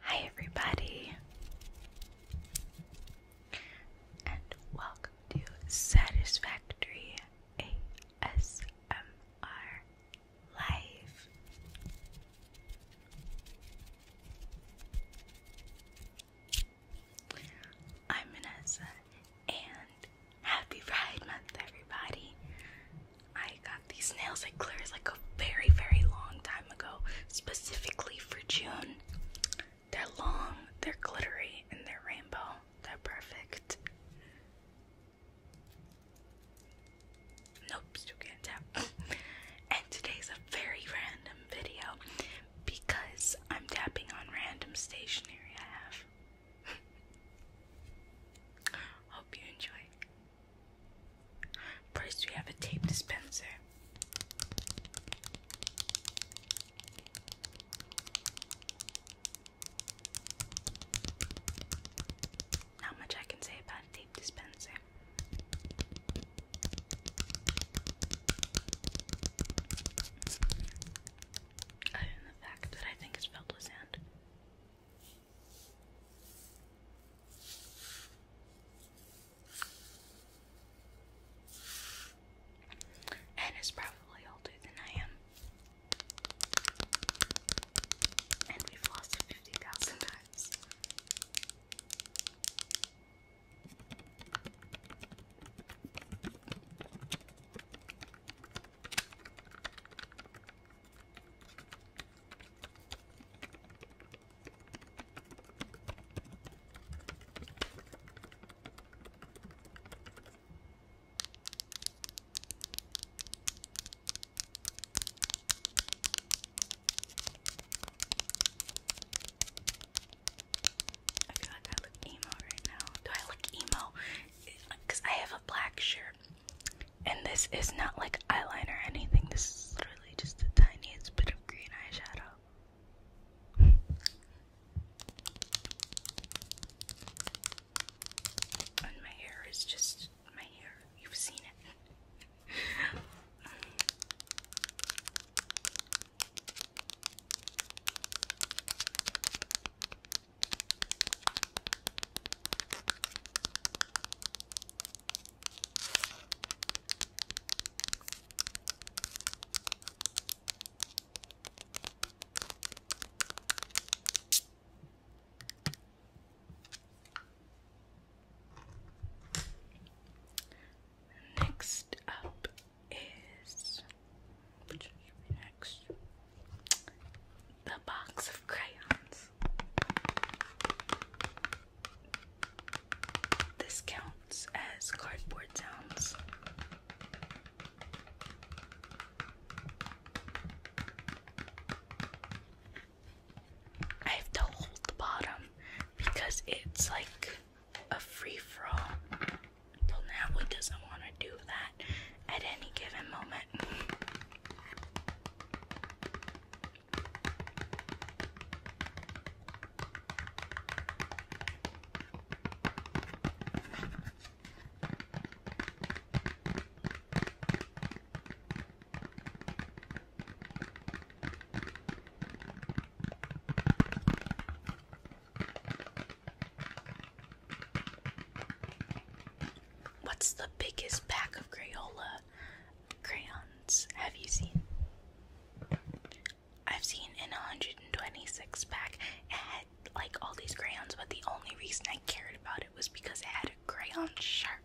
Hi, everybody, and welcome to Satisfactory ASMR Live. I'm Vanessa, and happy Pride Month, everybody. I got these nails at Claire's like a very, very long time ago, specifically for June. They're long, they're glittery, and they're rainbow. They're perfect. Nope, still can't tap. and today's a very random video because I'm tapping on random stationery I have. Hope you enjoy. First, we have a tape dispenser. Not much I can say about tape dispenser. Other than the fact that I think it's filled with sand. And it's probably older than I am. And we've lost 50,000 times. I feel like I look emo right now. Do I look emo? Because I have black shirt. And this is not like eyeliner or anything. This is literally just the tiniest bit of green eyeshadow. and my hair is just my hair. You've seen it. Next up is next? The box of crayons. This counts as cardboard sounds. I have to hold the bottom because it's like a free for Till now, he doesn't want to do that at any given moment. What's the biggest pack of Crayola crayons have you seen? I've seen an 126 pack. It had like all these crayons, but the only reason I cared about it was because it had a crayon sharpener.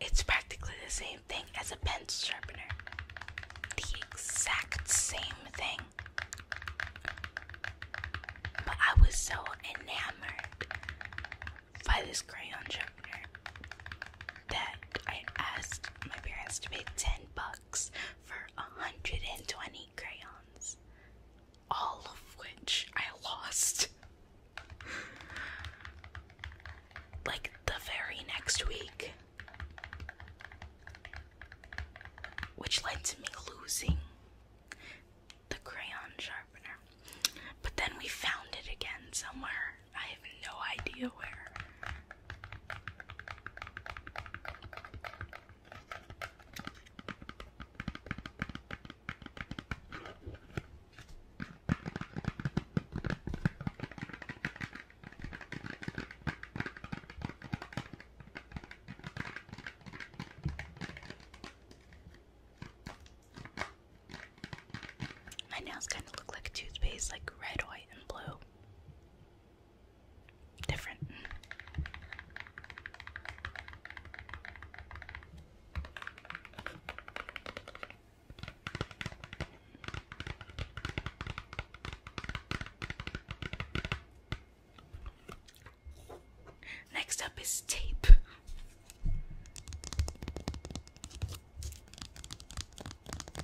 It's practically the same thing as a pencil sharpener. The exact same thing. But I was so enamored by this crayon sharpener that I asked my parents to pay 10 bucks for 120 crayons, all of which I lost. like the very next week, which led to me losing the crayon sharpener. But then we found it again somewhere. I have no idea where. My nails kind of look like a toothpaste, like red, white, and blue. Different. Next up is tape.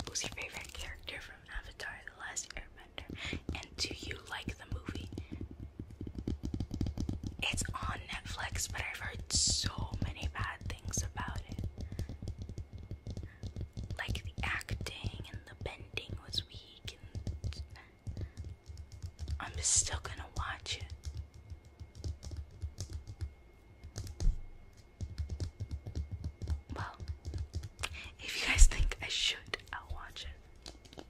Who's your favorite character from Avatar The Last Airbender? And do you like the movie? It's on Netflix, but I've heard so many bad things about it. Like the acting and the bending was weird. I'm just still gonna watch it. Well, if you guys think I should, I'll watch it.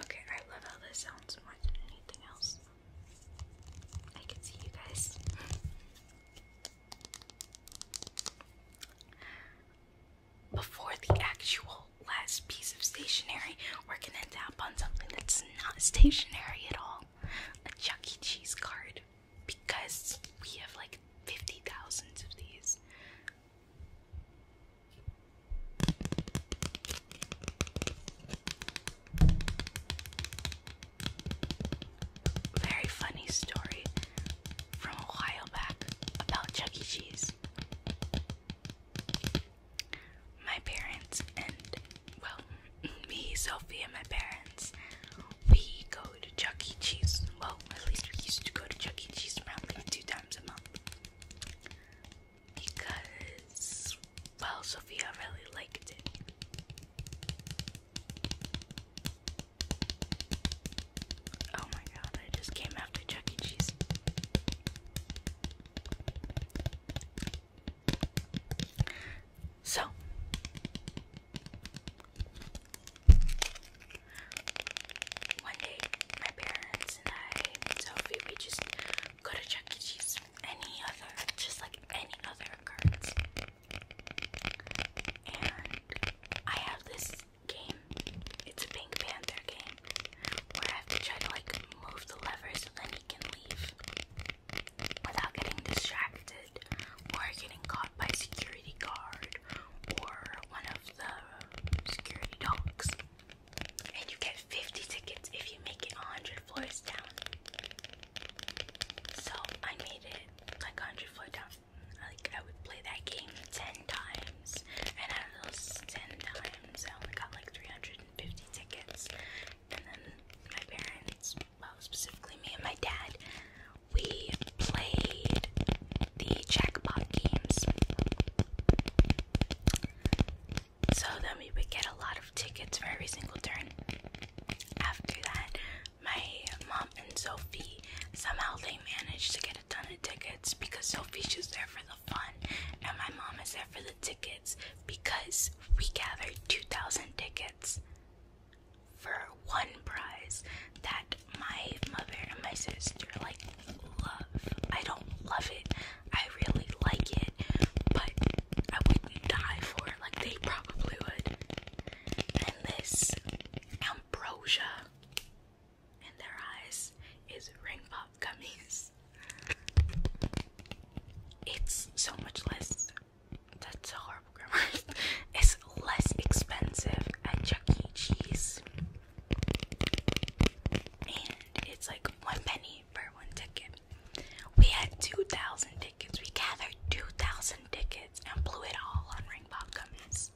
Okay, I love how this sounds more than anything else. I can see you guys before the actual last piece of stationery, we're gonna tap on something that's not stationary at all a Chuck E. Cheese card. Because we have like 50,000 of these. Very funny story from a while back about Chuck E. Cheese. My parents and, well, me, Sophie, and my parents, we go to Chuck E. Cheese. Well, at least we used to go to Chuck E. Cheese probably two times a month. Because, well, Sophia really liked it. Oh my god, I just came after Chuck E. Cheese. So, one day, my parents and I, Sophie, we just go to Chuck E. Cheese. Any other, just like any other And I have this game. It's a Pink Panther game where I have to like move the lever so then can leave without getting distracted or getting caught by security guard or one of the security dogs. And you get 50 tickets if you make it 100 floors down. So I made it like 100 floors down. Like I would play that game ten times, and out of those ten times, I only got like 350 tickets. And then my parents, well, specifically me and my dad, we played the jackpot games. So then we would get a lot of tickets for every single turn. After that, my mom and Sophie somehow they managed to get a ton tickets because Sophie's just there for the fun, and my mom is there for the tickets because we gathered 2,000 tickets for one prize that my mother and my sister like love. I don't love it, I really like it, but I wouldn't die for it like they probably would. And this ambrosia in their eyes is ring pop gummies. It's so much less. That's horrible grammar. it's less expensive at Chuck E. Cheese, and it's like one penny for one ticket. We had two thousand tickets. We gathered two thousand tickets and blew it all on ring pop gummies.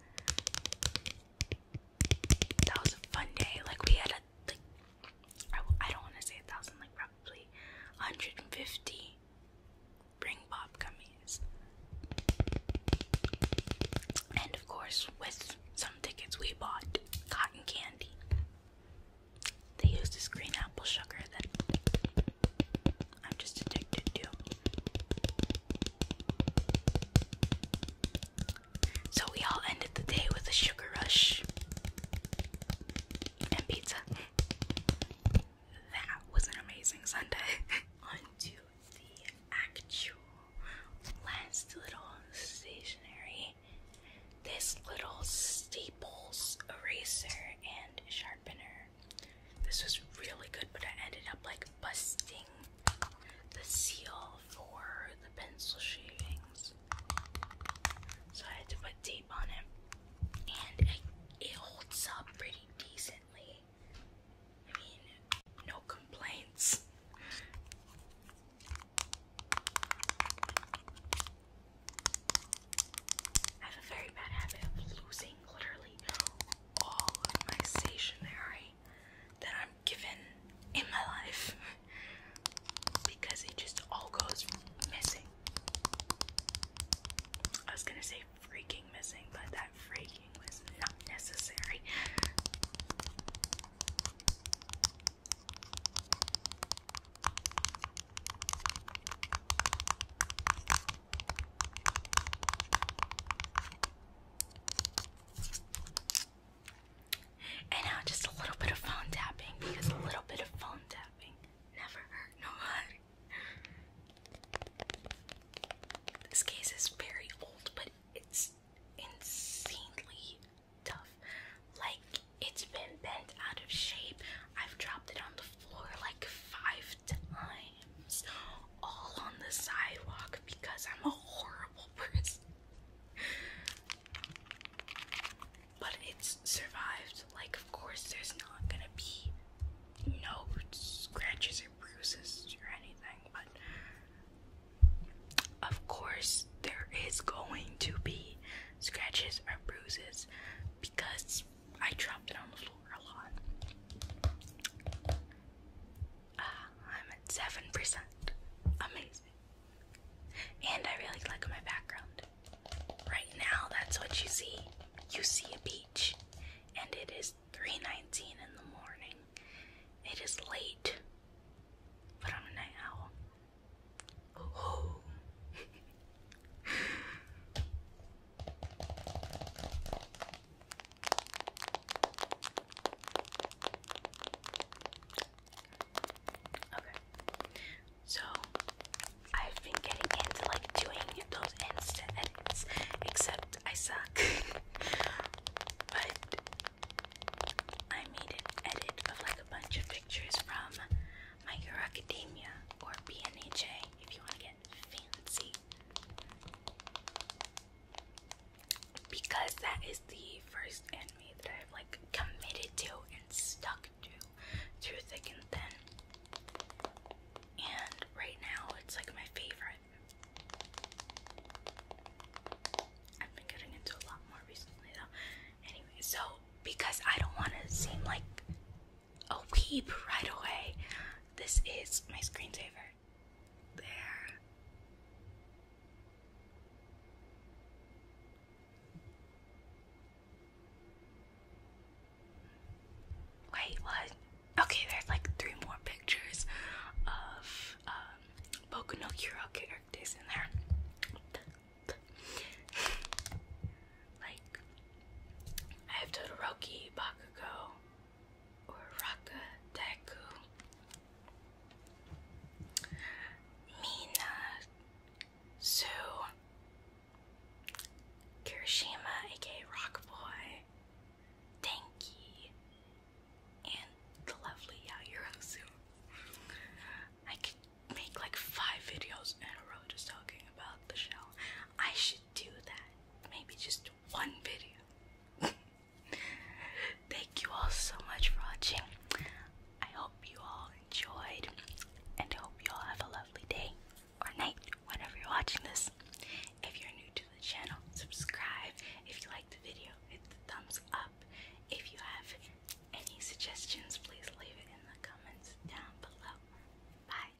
That was a fun day. Like we had a like I, don't want to say a thousand, like probably 150 ring pop gummies. And of course, with some tickets we bought cotton candy. They use this green apple sugar that I'm just addicted to. So we all ended the day with a sugar rush and pizza. That was an amazing Sunday. On the actual last little stationery. This little Staples eraser and sharpener this was really good, but I ended up like busting the seal for the pencil shavings. So I had to put tape on it. And it holds up pretty decently. I mean, no complaints. I have a very bad habit of losing literally all of my stationery that I'm given in my life because it just all goes missing. I was gonna say freaking missing, but that freaking was not necessary. And now just a little bit of phone tapping because a little bit of phone tapping never hurt nobody. This case is very old, but it's insanely tough. Like, it's been bent out of shape. I've dropped it on the floor like five times all on the sidewalk because I'm a horrible person. But it's survived. Like, of course, there's not gonna be no scratches or bruises or anything, but of course, there is going to be scratches or bruises because I dropped it on the floor a lot. Ah, I'm at 7%. Amazing. And I really like my background. Right now, that's what you see. You see a beach, and it is 3:19 in the morning. It is late, but I'm a night owl. Okay. So I've been getting into like doing those instant edits, except I suck. but I made an edit of like a bunch of pictures from My Hero or BNHA if you want to get fancy because that is the first anime that I've like committed to and stuck to through thick and thin. And right now it's like my favorite. I've been getting into a lot more recently though. Anyway, so because I don't want to seem like a oh, weep right away. This is my screensaver. There. Wait, what? Okay, there's like three more pictures of um, Hero characters in there. like, I have Todoroki, Bakugo, Uraka Deku, Mina Sue, Kirishima, aka Rock Boy, Denki, and the lovely Yaoyuro I could make like five videos in a row just talking about the show. I should do that. Maybe just one video. Thank you all so much for watching. I hope you all enjoyed and I hope you all have a lovely day or night whenever you're watching this. If you're new to the channel, subscribe. If you like the video, hit the thumbs up. If you have any suggestions, please leave it in the comments down below. Bye.